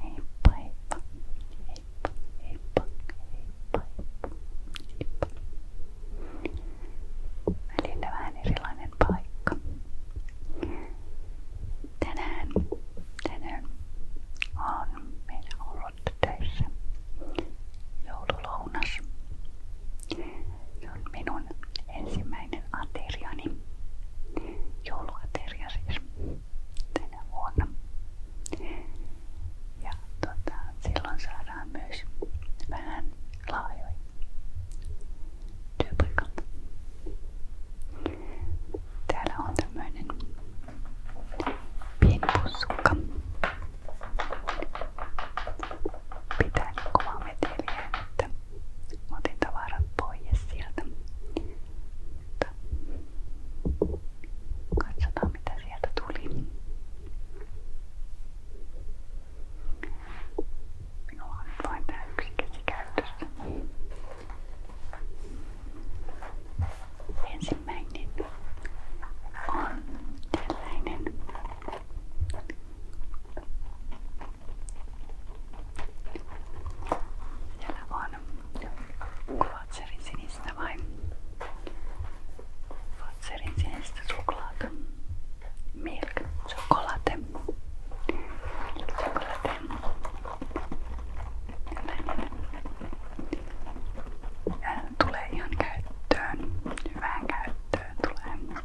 Heippa heippa. Heippa heippa. Heippa heippa. Välillä vähän erilainen paikka. Tänään, tänään on meillä ollut töissä joululounas. Se on minun ensimmäinen ateriani jouluateria siis tänä vuonna. Ja tota, silloin saadaan myös vähän laajoja työpaikalta. Täällä on tämmöinen pieni pussukka. Pitää niin kovaa meteliä, että Mä otin tavarat pois sieltä. Mutta katsotaan mitä sieltä tuli. Minulla on nyt vain tää yksi käsi käytössä. Ensimmäinen on tällainen siellä vaan kuvatserin sinistä vai kuvatserin sinistä suklaata. Milk chocolate. Chocolate. Tulee ihan käyttöön. Hyvään käyttöön tulee.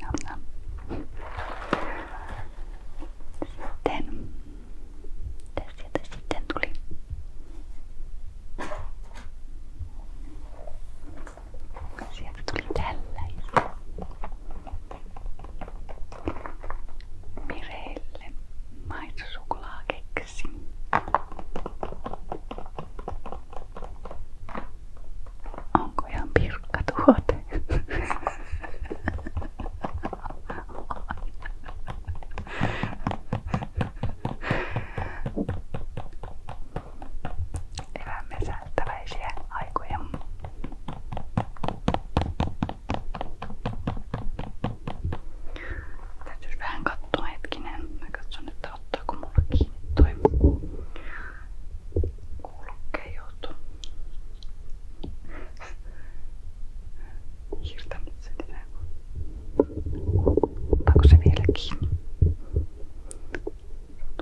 Nam, nam. Sitten, mitä sieltä sitten tuli? Sieltä tuli tällaista. Mireille maitosuklaakeksi. Onko ihan pirkka tuote? Elämme säättäväisiä aikoja. Täytyy vähän katsoa hetkinen. Mä katson, että ottaako mulla kiinni toi kulkeut. Hiiltä se ikään kuin. Ottaako se vielä kiinni?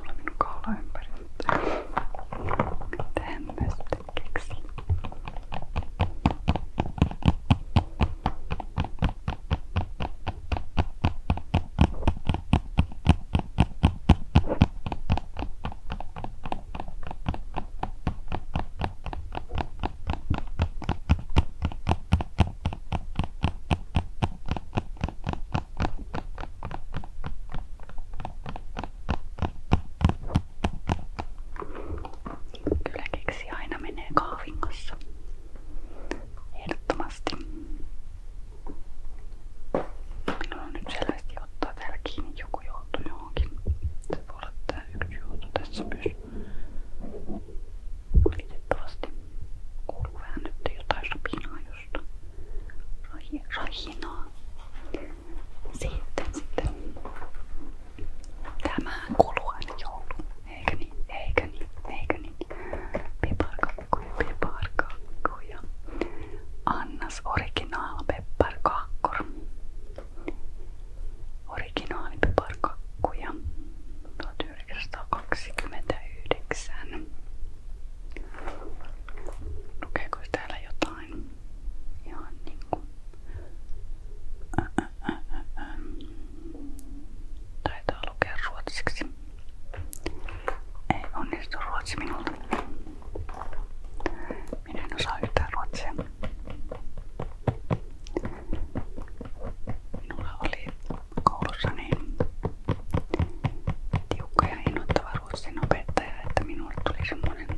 Tulee minun kaula ympäri. Mitähän mä sitten keksin? Kyllä keksi aina menee kahvin kanssa. Ehdottomasti. Minulla on nyt selvästi ottaa täällä kiinni, joku joutuu johonkin. Se voi olla tää yksi joutu tässä myös. Valitettavasti kuuluu vähän nyt jotain rapinaa josta. Rahinaa. Sitten sitten. Tämä kuluu aina joulu. Eikä niin, eikä niin, eikä niin. Piparka pepparkakor. Annas originalpepparkakor. Originaalipepparkakkuja 1929. Lukeeko täällä jotain? Ihan niinku... Ä, ä, ä, ä. Taitaa lukea ruotsiksi. Ei onnistu ruotsi minulta. Minä en osaa yhtään ruotsia. Minulla oli koulussa niin tiukka ja innoittava ruotsin opettaja, että minulle tuli semmoinen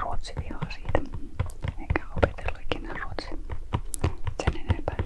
ruotsivihaa siitä. Eikä opetellut ikinä ruotsia sen enempää.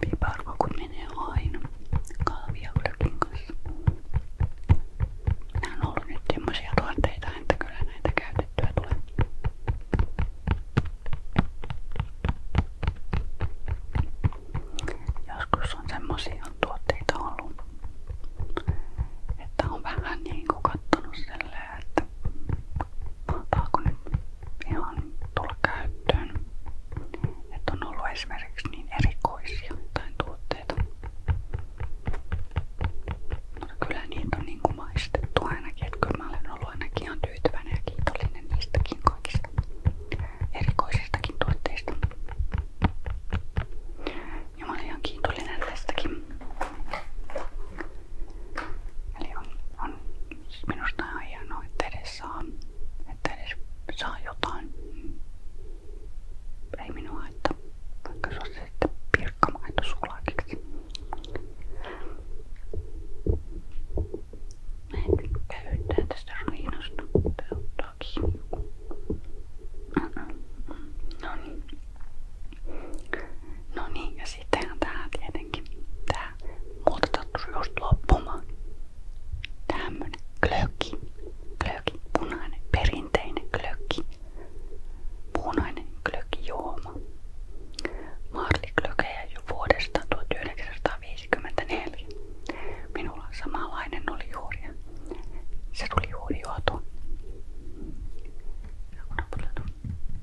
Piparkokut menee aina kahviaudakin kanssa. Nää on ollut nyt semmosia tuotteita, että kyllä näitä käytettyä tulee. Joskus on semmosia tuotteita ollut, että on vähän niin kuin kattonut sille silleen, että mahtaako nyt ihan tulla käyttöön. Että on ollut esimerkiksi niin erikoisia jotain tuotteita. Mutta no, kyllä niitä on niin kuin maistettu ainakin, että kyllä mä olen ollut ainakin ihan tyytyväinen ja kiitollinen niistäkin kaikista erikoisistakin tuotteista. Ja mä olin ihan kiitollinen tästäkin. Eli on, minusta ihan hienoa, että edes jotain. Ei minua haittaa, vaikka se on en käyttää tästä riinasta. Tää ottaa No niin. No niin, ja sittenhän tää tietenkin, tää muuta sattui just loppumaan. Tämmönen klöki, klöki, punainen, perinteinen klöki, punainen klökijuoma. Marliklökejä jo vuodesta 1954. Minulla samanlainen oli juuri ja se tuli juuri juotua.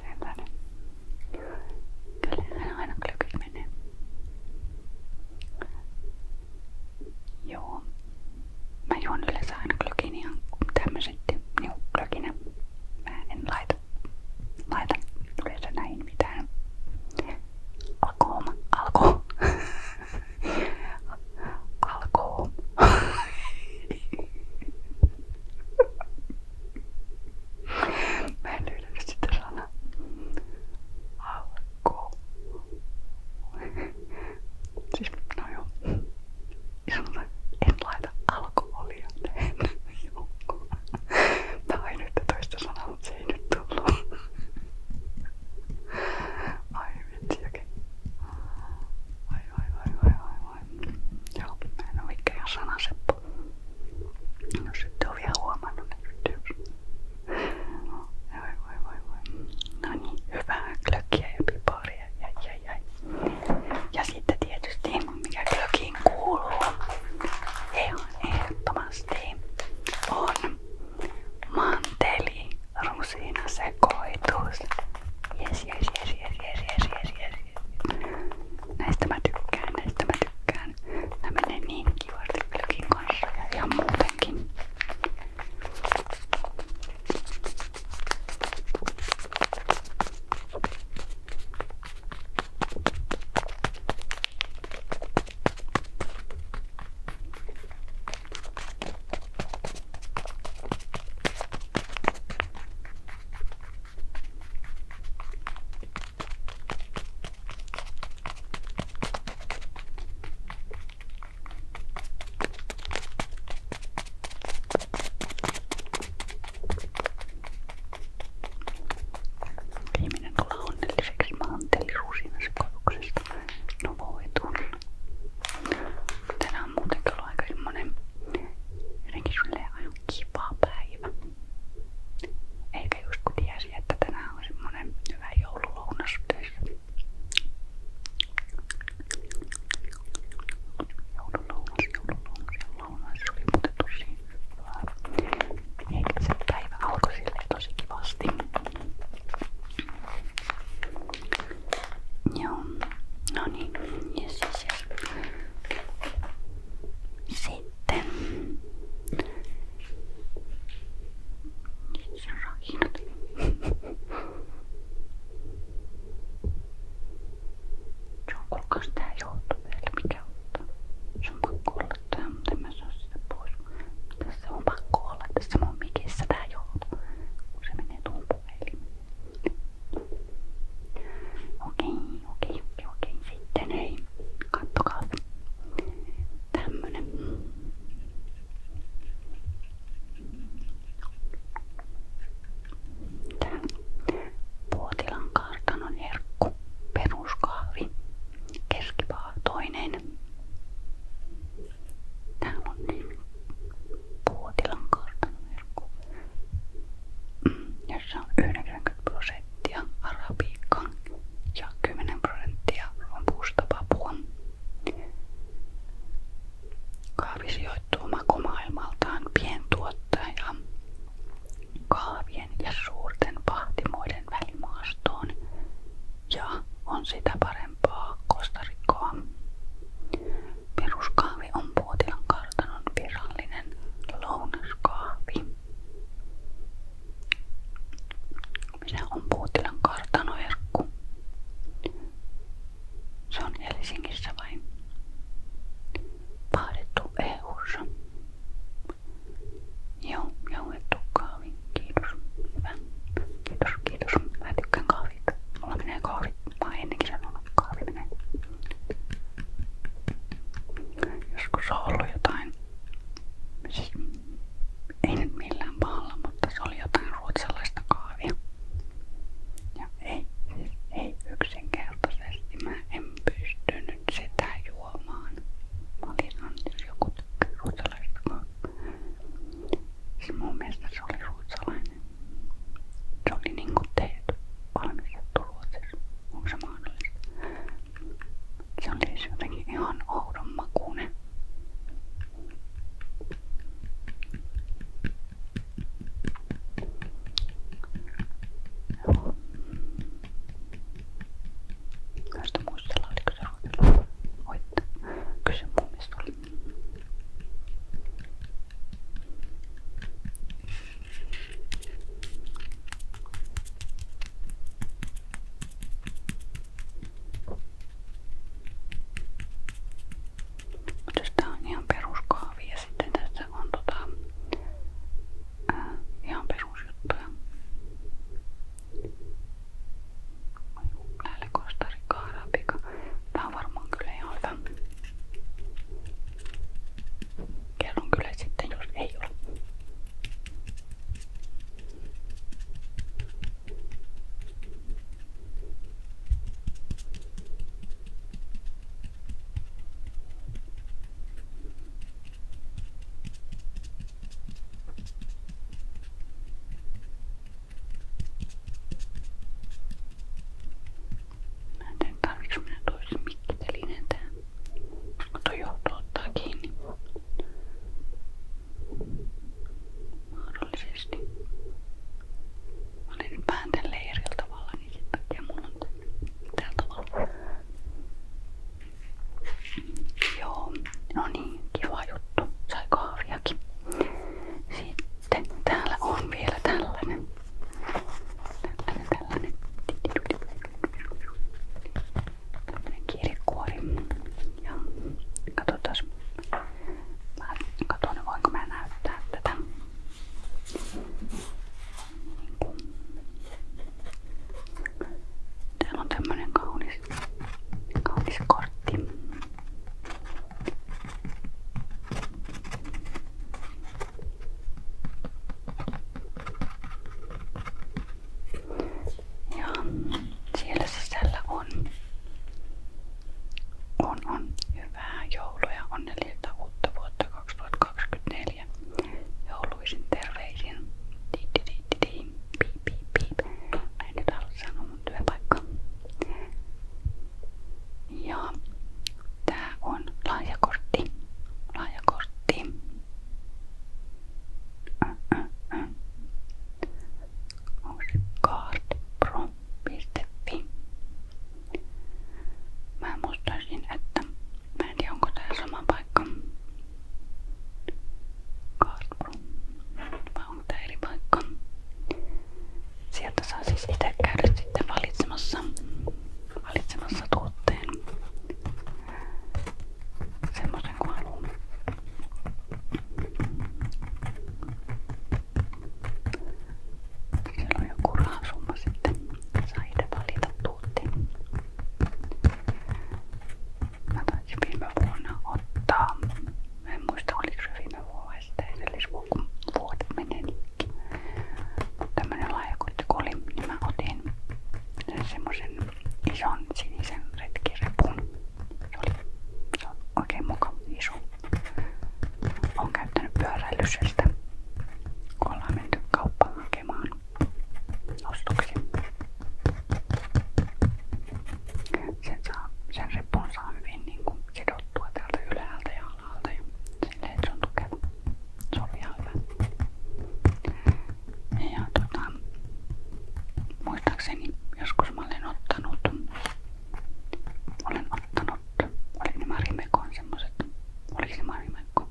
Sellainen. Kyllähän aina glögit menee. Joo. Mä juon yleensä aina glögin ihan tämmöset niinku glöginä. Mä en laita, laita yleensä näihin mitään alkohoma, alko, alkoon. Mä en löydä nyt sitä sanaa. Alko. Siis, no joo. Ja sanotaan, en laita alkoholia tähän joukkoon. Tää on nyt toista sanaa, mutta se ei nyt tullut. Ai okei. Vai vai vai vai vai vai. Joo, mä en oo mikään sanaseppu. Jos no, sitten on vielä huomannut, niin yritys. Vai vai vai vai. No niin, hyvää klökkiä ja piparia. Jäi, jäi, jäi. Ja sitten tietysti, mikä klökiin kuuluu, ihan ehdottomasti on manteli, rusina sekoitus. Jes, jes, jes, jes, jes, jes, jes, jes. Näistä mä tykkään, näistä mä tykkään. Nää menee niin kivasti pylkin kanssa ja ihan muutenkin. Viimeinen tulee onnelliseksi maanteellisuusinsekoituksesta. No voi tulla. Tänään on muutenkin ollut aika semmonen jotenkin silleen aivan kiva päivä. Eikä just kun tiesi, että tänään on semmonen hyvä joululounas töissä. Joululounas, joululounas ja lounas oli muuten tosi hyvää. Eikä se päivä alkoi silleen tosi kivasti. Joo, no niin, yes, yes, yes. Sitten rahinat. Se on kuulkaas tää johtopäällä mikä ottaa. Se on pakko olla tää, mutta en mä saa sitä pois. Tässä on pakko olla tässä mun mikissä tää joulu, kun se menee tuon puhelimeen. Okei, okei, okei, okei. Sitten hei, kattokaa. Tämmönen. Tää Puotilan kartanon herkku, peruskahvi, keskipaha toinen. Täällä on niin Puotilan kartanoverkko, mm, jossa on 90 prosenttia arabiikkaa ja 10 prosenttia rompuusta papua. Kaavi sijoittuu makumaailmaltaan pientuottaja kaavien ja suurten pahtimoiden välimaastoon Joo, on sitä parempaa kostarikkoa. Peruskahvi on Puotilan kartanon virallinen lounaskahvi. Minä on Puotilan kartanoherkku. Se on Helsingissä vain paadettu EU:ssa. Joo, jauhettu kahvi. Kiitos. Hyvä. Kiitos, kiitos. Mä tykkään kahvit. Mulla menee kahvit. Mä oon ennenkin sanonut, kahvi menee. Joskus on ollut jotain, siis ei nyt millään pahalla, mutta se oli jotain ruotsalaista kahvia. Ja ei, siis ei yksinkertaisesti. Mä en pystynyt sitä juomaan. Mä olin joku tykkää ruotsalaista kahvia. Se siis mun mielestä se oli ruotsalainen. Se oli niinku teet valmistettu Ruotsissa. Onko se mahdollista? Se oli siis jotenkin ihan oudon makuinen. Joo. Tästä muistella, oliko se ruotsalainen. Voitte kysyä mun mielestä oli. Tää on ihan peruskaavi ja sitten tässä on tota, ää, ihan perusjuttuja. Lähelle Costa Rica, Arabika. Tää on varmaan kyllä ihan hyvä. Kerron kyllä sitten, jos ei ole. Mä en tiedä tarviks minä toisen mikkitelineen tähän, kun toi johto ottaa kiinni. Mahdollisesti. Mä olin nyt vähän tälleen eri tavalla, niin sen takia mulla on tällä tavalla. Joo, no niin, kiva juttu. Sai kahviakin. Sitten täällä on vielä tällainen. Tällainen, tällainen. Tällainen kirjekuori. Ja katsotaan. Mä katson, voinko mä näyttää tätä. Täällä on tämmönen kaunis, kaunis kortti. Ja siellä sisällä on, on, on hyvää joulua ja onnellista uutta vuotta 2024. Jouluisin terveisin. Tiiti, tiiti, tiiti. Piip, piip, piip. Mä en nyt halua sanoa työpaikka. Ja tää on lahjakortti. Lahjakortti. Onko se cardpro.fi? Mä muistaisin, että mä en tiedä onko tää sama paikka. Cardpro. Vai mutta eri paikka. Sieltä saa siis itse käydä sitten valitsemassa, valitsemassa tuotteen. Semmoisen kuin haluaa. Siellä on joku rahasumma sitten. Saa itse valita tuotteen. Mä taisi viime vuonna ottaa. En muista oliko se viime vuonna vai sitten edellisvuodet meneekin. Tämmönen laajakotti kun oli, niin mä otin sen semmosen ison sinisen retkirepun. Se oli se on oikein mukava iso. Olen käyttänyt pyöräilysestä, kun ollaan menty kauppaan hakemaan ostoksia. Sen, saa, sen rippun saa hyvin niin kuin sidottua täältä ylhäältä ja alalta ja silleen se on tukeva. Se on ihan hyvä. Ja tota, muistaakseni joskus mä olen ottanut, olen ottanut, oli ne Marimekon semmoset, oli se Marimekko,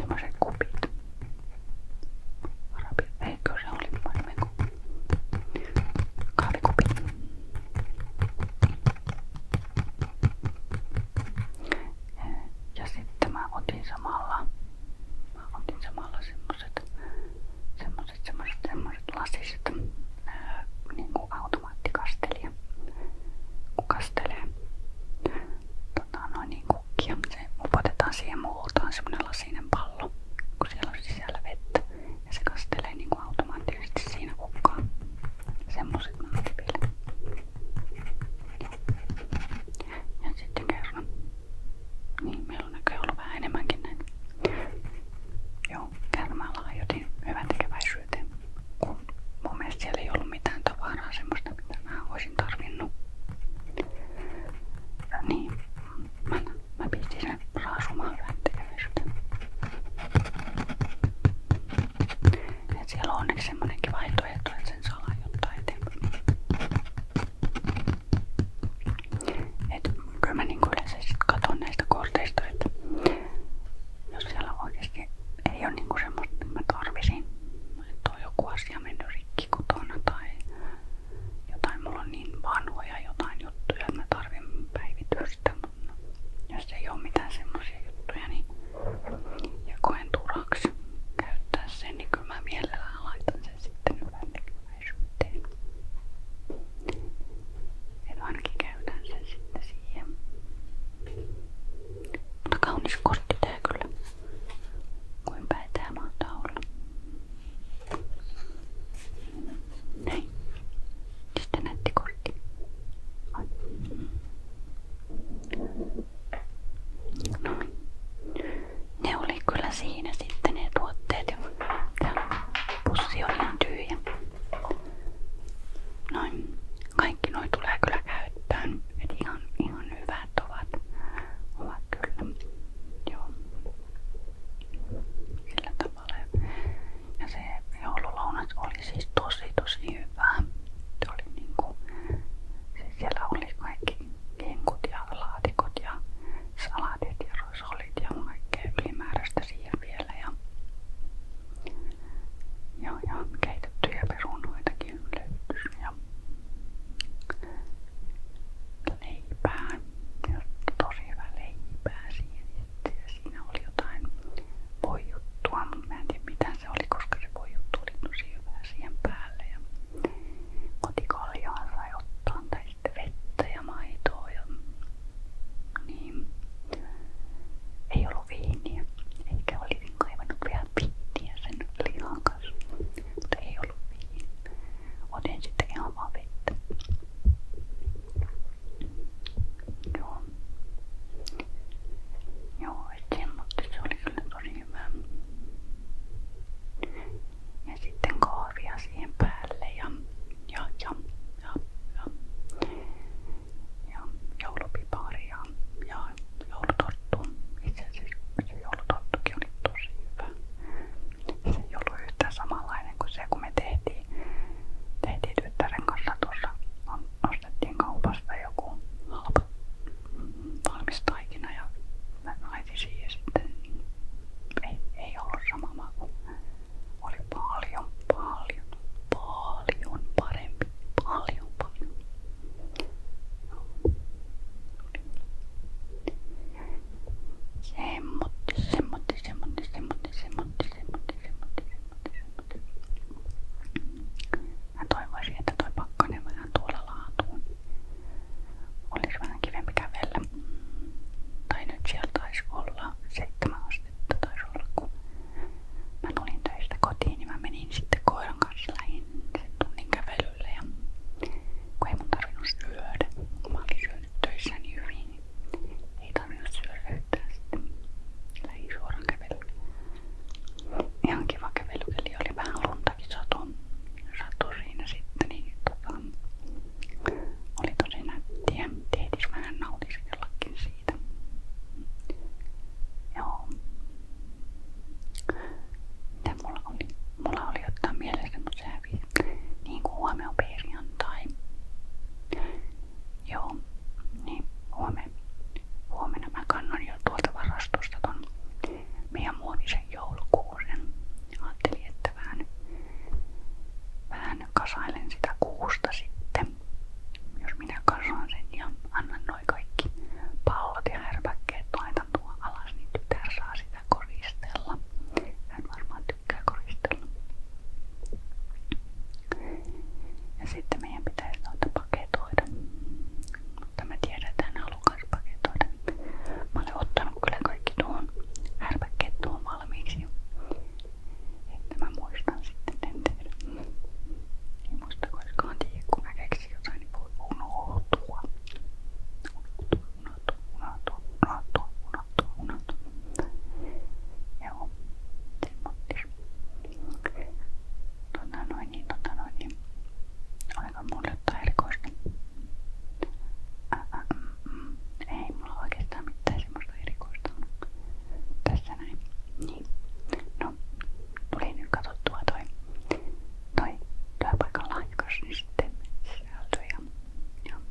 tämmöset kupit. Arabi, eikö se oli Marimekko? kahvikupi. Ja sitten mä otin samalla, mä otin samalla semmoset, semmoset, semmoset, semmoset lasiset niin kuin automaattikastelija, kun kastelee tota, noin niin kukkia. Se upotetaan siihen multaan semmonen lasinen pallo, kun siellä on sisällä vettä ja se kastelee niinku automaattisesti siinä kukkaa. Semmoset mä otin Ja sitten kerran. Niin, meillä on näköjään ollut vähän enemmänkin näitä. Joo, kärmällä ajotin hyvän Kun mun siellä ei mitä mä olisin tarvinnut. Ja niin, mä mä pistin sen raasumaan väntelemystä. Et siellä on onneksi semmonenkin vaihtoehto, että sen saa laajentaa eteenpäin. Et kyllä mä niin yleensä sit katon näistä korteista, että jos siellä oikeesti ei ole niinku semmoista, että mä tarvisin, että on joku asia mennyt rikki kotona tai jotain, mulla on niin vanhoja jotain juttuja, että mä tarvin päivitystä, mutta jos ei ole mitään semmoisia juttuja, niin ja koen turaksi käyttää sen, niin kyllä mä mielellään laitan sen sitten yläntekeväisyyteen. Eli ainakin käytän sen sitten siihen. Mutta kaunis kortti tää kyllä. Kuinka päin tää mahtaa olla. Näin. Sitten näytti kortti. Noin. Niin. Ne oli kyllä siinä sitten ne tuotteet. Tää pussi on ihan tyhjä. Noin. Kaikki noi tulee kyllä käyttöön. Et ihan, ihan hyvät ovat. Ovat kyllä. Joo sillä tavalla. Ja se joululounas oli siis tosi tosi hyvä. Se oli niinku, siis siellä oli kaikki kinkut ja laatikot ja salatit ja rosolit ja kaikkea ylimääräistä siihen vielä. Ja, ja, ja keitettyjä perunoitakin löytyi. Ja, niin leipää, tosi hyvää leipää siihen ja siinä oli jotain voijuttua, mutta mä en tiedä mitä se oli, koska se voijuttu oli tosi hyvää siihen päälle ja kotikaljaan sai ottaa tai sitten vettä ja maitoa ja niin ei ollut viiniä, eikä olisin kaivannut vielä pittiä sen lihan kanssa, mutta ei ollut viiniä. Otin sitten ihan vaan vettä. Joo. Joo, et semmoista se oli kyllä tosi hyvä. Ja sitten kahvia siihen päälle ja ja ja ja ja, ja joulupipaari ja, ja joulutorttu. Itse asiassa se joulutorttukin oli tosi hyvä se ei ollut yhtään samanlainen kuin se, kun me tehtiin, tehtiin tyttären kanssa tuossa. Ostettiin kaupasta joku halpa valmis taikina ja naiti siihen sitten. Ei, ei ollut sama maku. Oli paljon, paljon, paljon parempi. Paljon, paljon. Semmotti, semmotti, semmotti, semmotti, semmotti, semmotti, semmotti, semmotti, semmotti. Mä toivoisin, että toi pakkanen vähän tuolla laatuun. Olisi vähän kivempi kävellä. Tai nyt siellä taisi olla seitsemän astetta taisi olla, kun mä tulin töistä kotiin, niin menin sitten koiran kanssa lähin sen tunnin kävelylle. Ja kun töissäni niin hyvin. Ei tarvinnut syödä löytää sitten lähin suoraan kävelylle. Ihan kiva kävelykeli, oli vähän luntakin satu, satu siinä sitten, niin tota, oli tosi nättiä. Teetis vähän nautiskellakin siitä. Joo. Mitä mulla oli? Mulla oli ottaa mielessä, mutta se hävisi niin kuin huomenna perjantai. Joo, niin huomenna, huomenna mä kannan jo tuolta varastosta ton meidän muovisen joulukuusen. Ajattelin, että vähän, vähän kasailen sitä kuusta sitten, jos minä kasaan sen ja annan noin kaikki pallot ja härpäkkeet laitan tuon alas, niin tytär saa sitä koristella. Hän varmaan tykkää koristella. Ja sitten meidän pitäisi noita paketoida. Mutta mä tiedetään halukas paketoida. Mä olen ottanut kyllä kaikki tuohon härpäkkeet tuohon valmiiksi. Että mä muistan sitten sen tehdä. Ei muista koskaan tiedä, kun mä keksin jotain, niin voi unohtua. unohtua unohtua, unohtua, unohtua, unohtua, unohtua. Joo, semmoittis. Tota noin, niin tota noin, niin. Oliko mulle jotain erikoista? Ä, ä, mm, mm. Ei mulla oikeastaan mitään semmoista erikoista tässä näin. Niin. No, tuli nyt katsottua toi, toi työpaikan lahjakas, niin sitten sisältö ja, ja